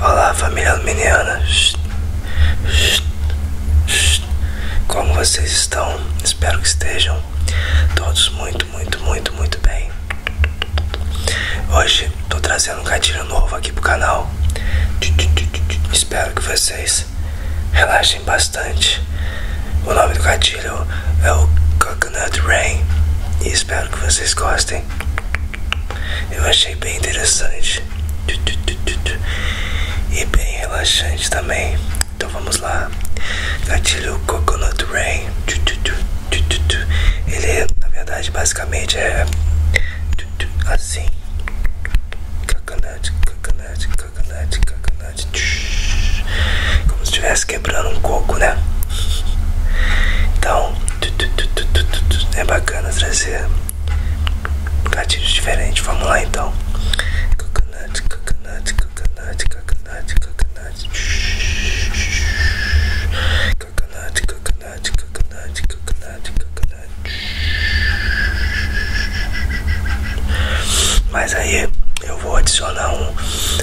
Olá família aluminiana Como vocês estão? Espero que estejam todos muito, muito, muito, muito bem Hoje estou trazendo um gatilho novo aqui pro canal Espero que vocês relaxem bastante. O nome do gatilho é o Coconut Rain e espero que vocês gostem. Eu achei bem interessante e bem relaxante também. Então vamos lá. Gatilho Coconut Rain. Ele, na verdade, basicamente é assim. Coconut coconut, coconut, coconut, coconut. Como se estivesse quebrando um coco, né? Então, é bacana trazer gatilhos diferentes. Vamos lá então. Coconut, coconut, coconut, coconut, coconut. Coconut, coconut, coconut, coconut, coconut. Mas aí eu vou adicionar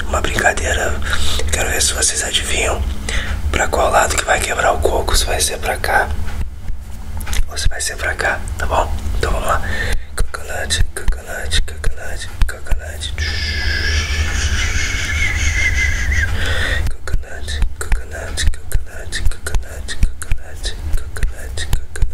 uma brincadeira. Quero ver se vocês adivinham pra qual lado que vai quebrar o coco. Se vai ser pra cá ou se vai ser pra cá, tá bom? Então vamos lá. Coconut, coconut, coconut, coconut. Coconut, coconut, coconut, coconut, coconut, coconut.